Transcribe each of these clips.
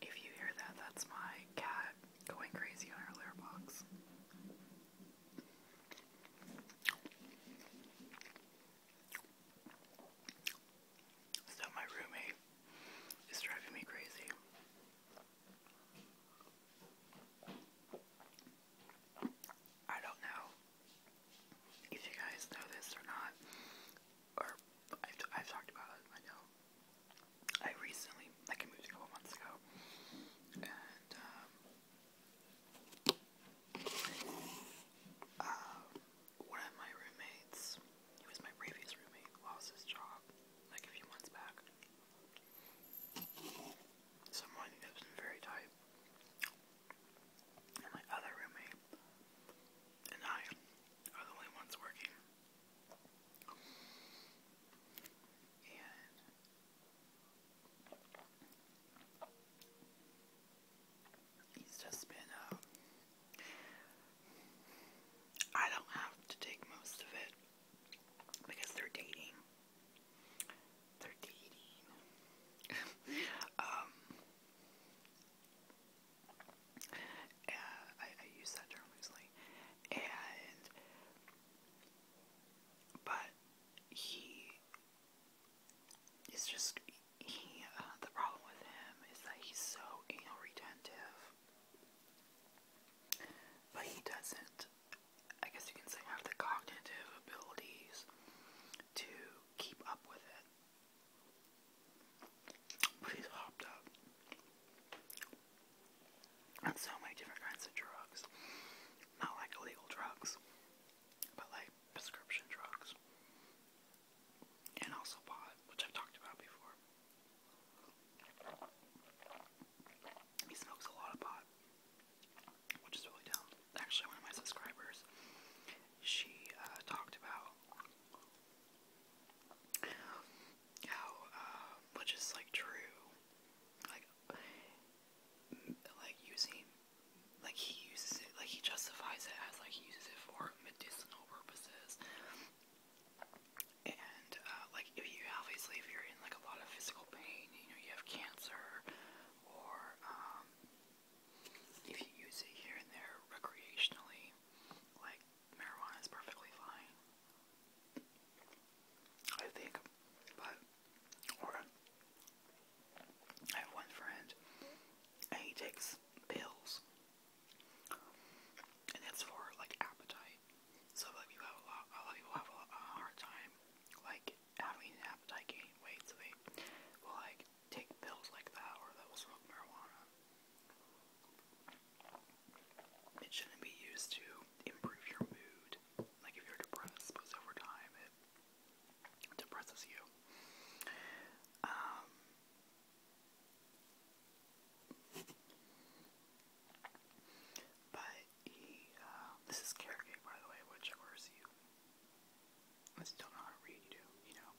If you hear that, that's my cat going crazy on her litter box. So, my roommate is driving me crazy. I don't know if you guys know this or not, or I've, talked about it, I know. I recently, like moved a couple months ago, and, um, uh, one of my roommates, he was my previous roommate, lost his job, like a few months back. Someone that was very tight. And my other roommate and I are the only ones working. And it's just been, uh, I don't have to take most of it because they're dating they're dating. um, I, use that term loosely, and but he is just he. Uh, the problem with him is that he's so anal retentive, but he doesn't. I guess you can say have the cognitive abilities to keep up with it. But he's hopped up on so many different kinds of drugs. Not like illegal drugs, but like prescription drugs. And also pot, which I've talked about before. He smokes a lot of pot which is really dumb. Actually, one of my subscribers, she uh, talked about how, uh, which is like true, like, like using, like he uses it, like he justifies it as like he uses it for medicinal purposes. And uh, like if you obviously if you're in like a lot of physical pain, you know you have cancer, or um, if you use it here and there recreationally, like marijuana is perfectly fine. I think, but I have one friend and he takes pills, and that's for like appetite. So a lot, of people have a hard time like having an appetite gain weight, so they will like take pills like that or they will smoke marijuana. It shouldn't be used to improve your mood. Like if you're depressed, because over time it depresses you. Um, but E, uh, this is carrot by the way, whichever is you. I just not know you know.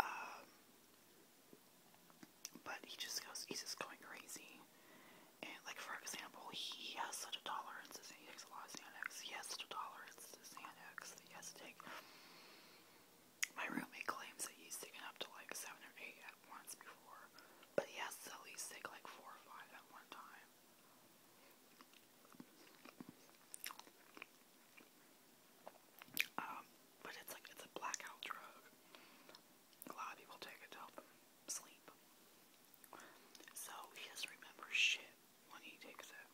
Um, but he just goes, he's just going crazy. And, like, for example, he has such a tolerance to Xanax. He tolerance to Xanax that take. My roommate claims that he's taken up to, like, seven or eight at once before. But he has at least take, like, four or five at one time. Um, but it's like it's a blackout drug. A lot of people take it to sleep. So he doesn't shit when he takes it.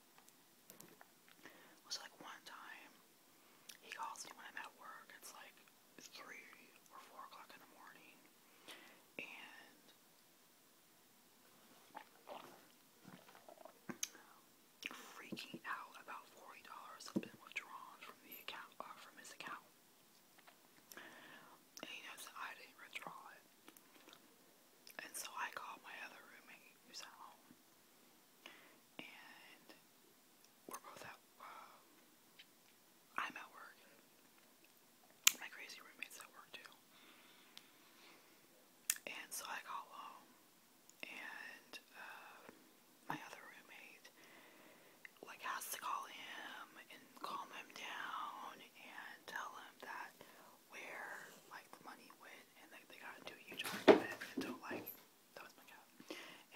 It like one time he calls me when I'm at work. It's like three or four o'clock in the morning, and Freaking out about forty dollars had been withdrawn from the account uh, from his account. And he knows that I didn't withdraw it. And so I called my other roommate who's at home. And we're both at, um, I'm at work, my crazy roommates at work too. And so I got home, and uh, my other roommate like has to call him and calm him down and tell him that where like the money went, and like they got into a huge argument until like that was my cat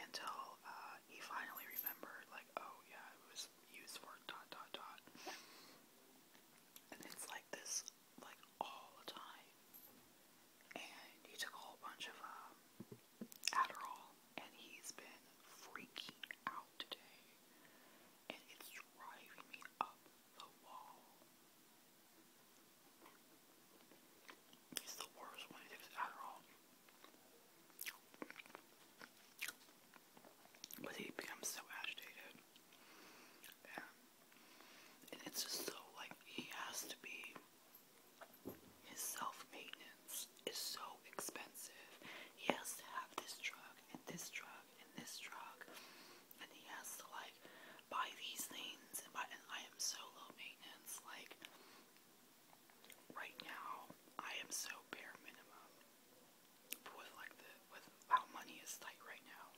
until uh, he finally remembered like oh yeah it was is for dot dot dot. And it's like this like all the time. And he took a whole bunch of um, Adderall and he's been freaking out today. And it's driving me up the wall. He's the worst when he takes Adderall. But he becomes so agitated. Yeah. And it's just so like he has to be his self maintenance is so expensive. He has to have this drug and this drug and this drug and he has to like buy these things and I am so low maintenance like right now I am so bare minimum with like the with how money is tight right now.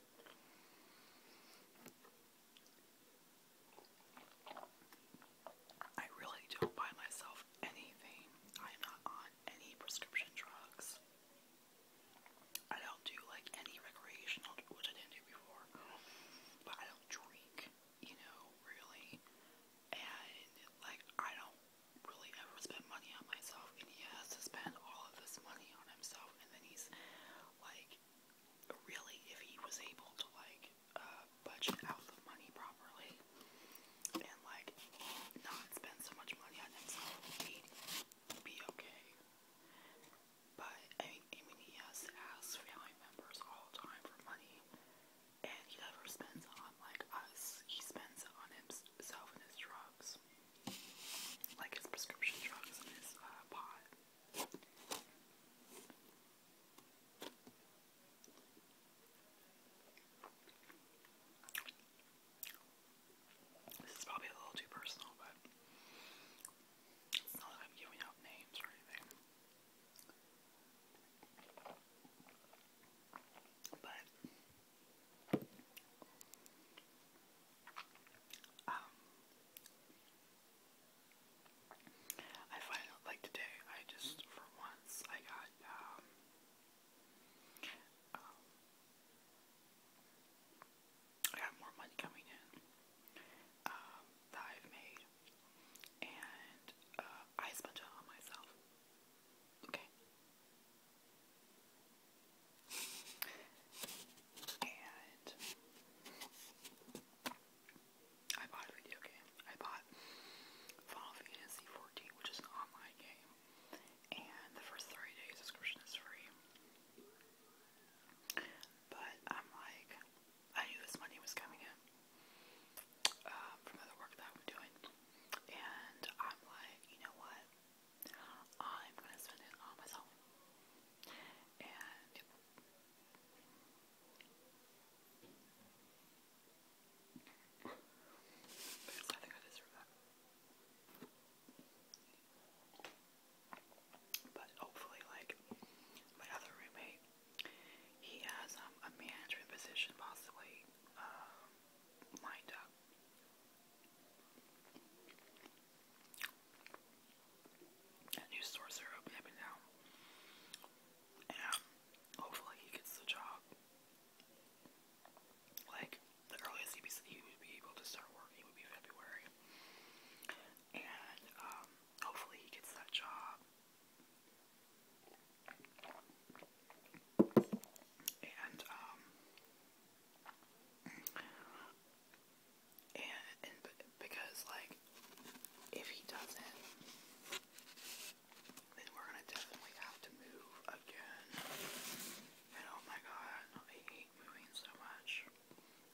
I really don't buy myself anything. I'm not on any prescription drugs. I don't do like any recreational, which I didn't do before. But I don't drink you know, really. And, like, I don't really ever spend money on myself, and he has to spend all of this money on himself, and then he's, like, really, if he was able to, like, uh, budget out the money properly, and, like, not spend so much money on himself, he'd be okay. But, I mean, I mean, he has to ask family members all the time for money, and he never spends on like us. He spends on himself and his drugs, like his prescription drugs and his uh, pot. This is probably a little too personal, but it's not that I'm giving out names or anything. But um I find it like today I just for once I got um um I got more money coming in um, that I've made, and uh, I sponge it on myself. Okay. And I bought a video game. I bought Final Fantasy XIV, which is an online game, and the first 30 day subscription is free. But I'm like, I knew this money was coming in uh, from other work that I'm doing, and I'm like, you know what? I'm gonna spend it on myself, and But hopefully, like my other roommate he has um, a management position, possibly uh, lined up. new stores are opening now. And um, hopefully he gets the job. Like, the earliest he would be able to start working would be February. And, um, Hopefully, he gets that job. And, um, and, because, like, if he doesn't, then we're gonna definitely have to move again. And oh my god, I hate moving so much.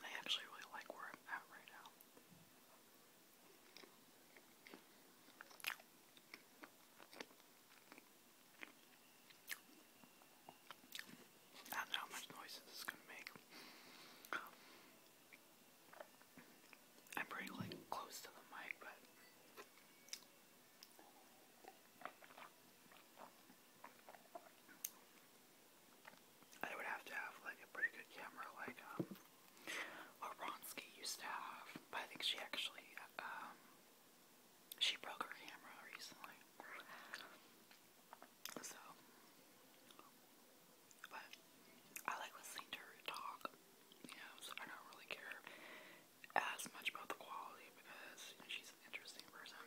I actually really like where I'm at right now. I don't know how much noise this is going to make. I'm like close to the mic, but I would have to have like a pretty good camera, like um, what Ronsky used to have. But I think she actually um, she broke her camera recently. So, but I like listening to her talk. You know, so I don't really care as much about the quality because you know, she's an interesting person.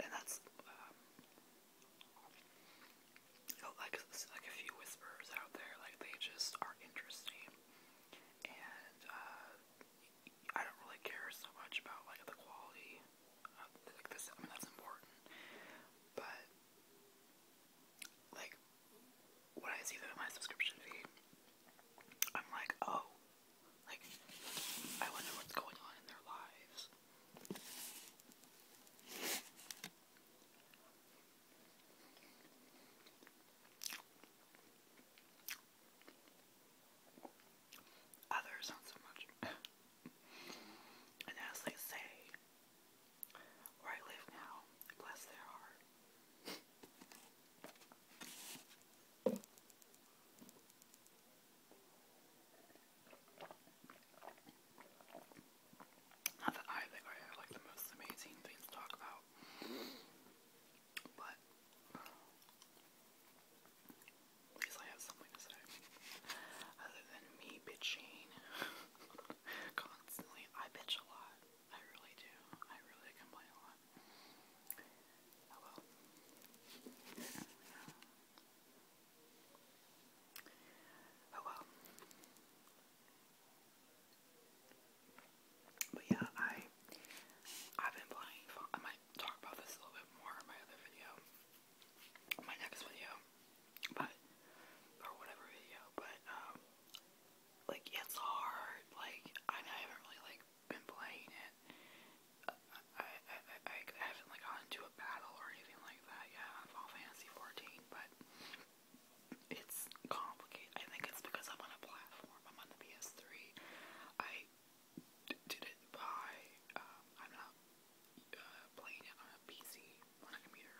And that's um, like like a few whispers out there. Like they just are interesting, and uh, I don't really care so much about like the quality. like this, I that's important, but like when I see them in my subscription feed, I'm like, oh, like, I wonder what's going on in their lives. Others, not so much. and as they say, where I live now, bless their heart. Not that I think I have like the most amazing things to talk about, but uh, at least I have something to say. Other than me bitching constantly, I bitch a lot. I really do. I really complain a lot. Oh well. Oh well. But yeah, I I've been playing I might talk about this a little bit more in my other video. My next video. But or whatever video, but um like it's hard. Like I, I haven't really like been playing it. I, I, I, I haven't like gone into a battle or anything like that yet on Final Fantasy 14, but it's complicated. I think it's because I'm on a platform. I'm on the PS3. I didn't buy. Um, I'm not uh, playing it on a PC on a computer.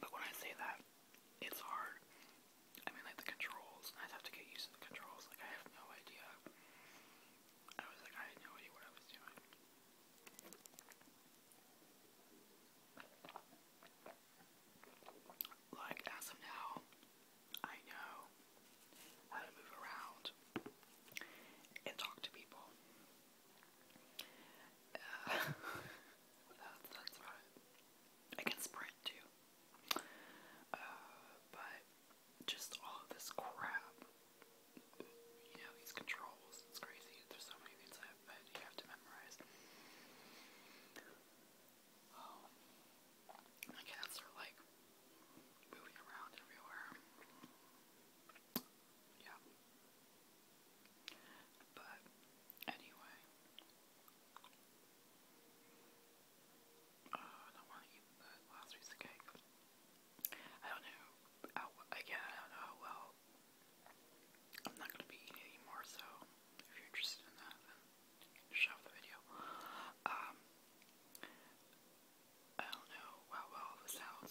But when I say that, it's hard. I mean, like the controls, I have to get used to the controls. Like I have no idea. I was like, I had no idea what I was doing. Like as of now, I know how to move around and talk to people. Uh, that's, about it. I can sprint too. Uh, but just all this crap, you know, these controls, it's crazy. There's so many things that, that you have to memorize. Um, my cats are like moving around everywhere. Yeah. But anyway. Oh, I don't want to eat the last piece I don't know again, I don't know how well I'm not going to be eating anymore, so if you're interested in that, then shut the video. Um, I don't know how well the sounds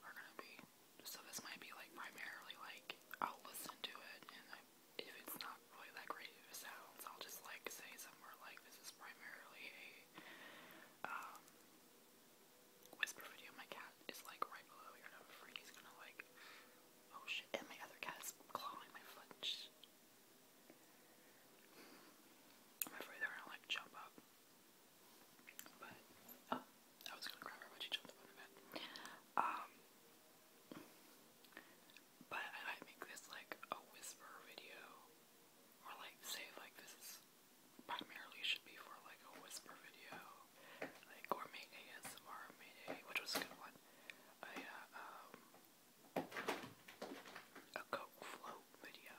are gonna be. So this might be like primarily like I'll listen to it and if it's not really that great of a sounds, I'll just like say somewhere like this is primarily a um, whisper video. My cat is like right below here and he's gonna like oh shit and my other cat's clawing my flinch. I'm afraid they're gonna like jump up. But oh, I was gonna grab her, but she jumped up on the bed. Um, but I make this like a whisper video, or like say like this is primarily should be for like a whisper video, like gourmet ASMR, mayday, which was a good one. I uh, um, a Coke float video.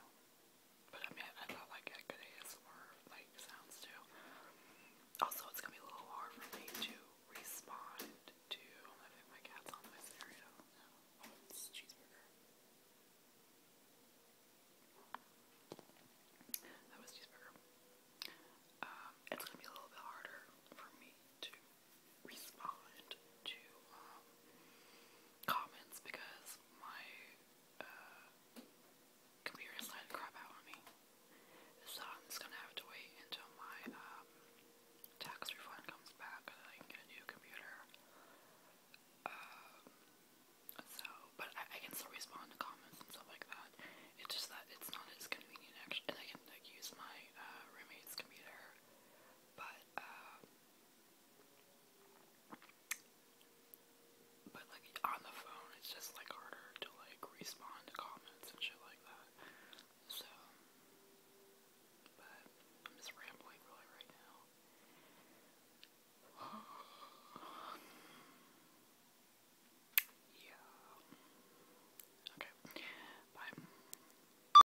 But I mean, I thought like I could ASMR like sounds too. Also, it's gonna be a little hard for me to respond to. I think my cat's on my stereo. Oh, it's cheeseburger. That was cheeseburger. Um, it's gonna be a little bit harder for me to respond to um, comments because my uh, computer decided to crap out on me. So I'm just gonna have to wait until my um, tax refund comes back and I can get a new computer. Um, so, but I, can still respond to comments and stuff like that. It's just that it's not as convenient and I can like use my uh, roommate's computer. But but like on the phone, it's just like harder to like respond to comments and shit like that. So, but I'm just rambling really right now. yeah. Okay. Bye.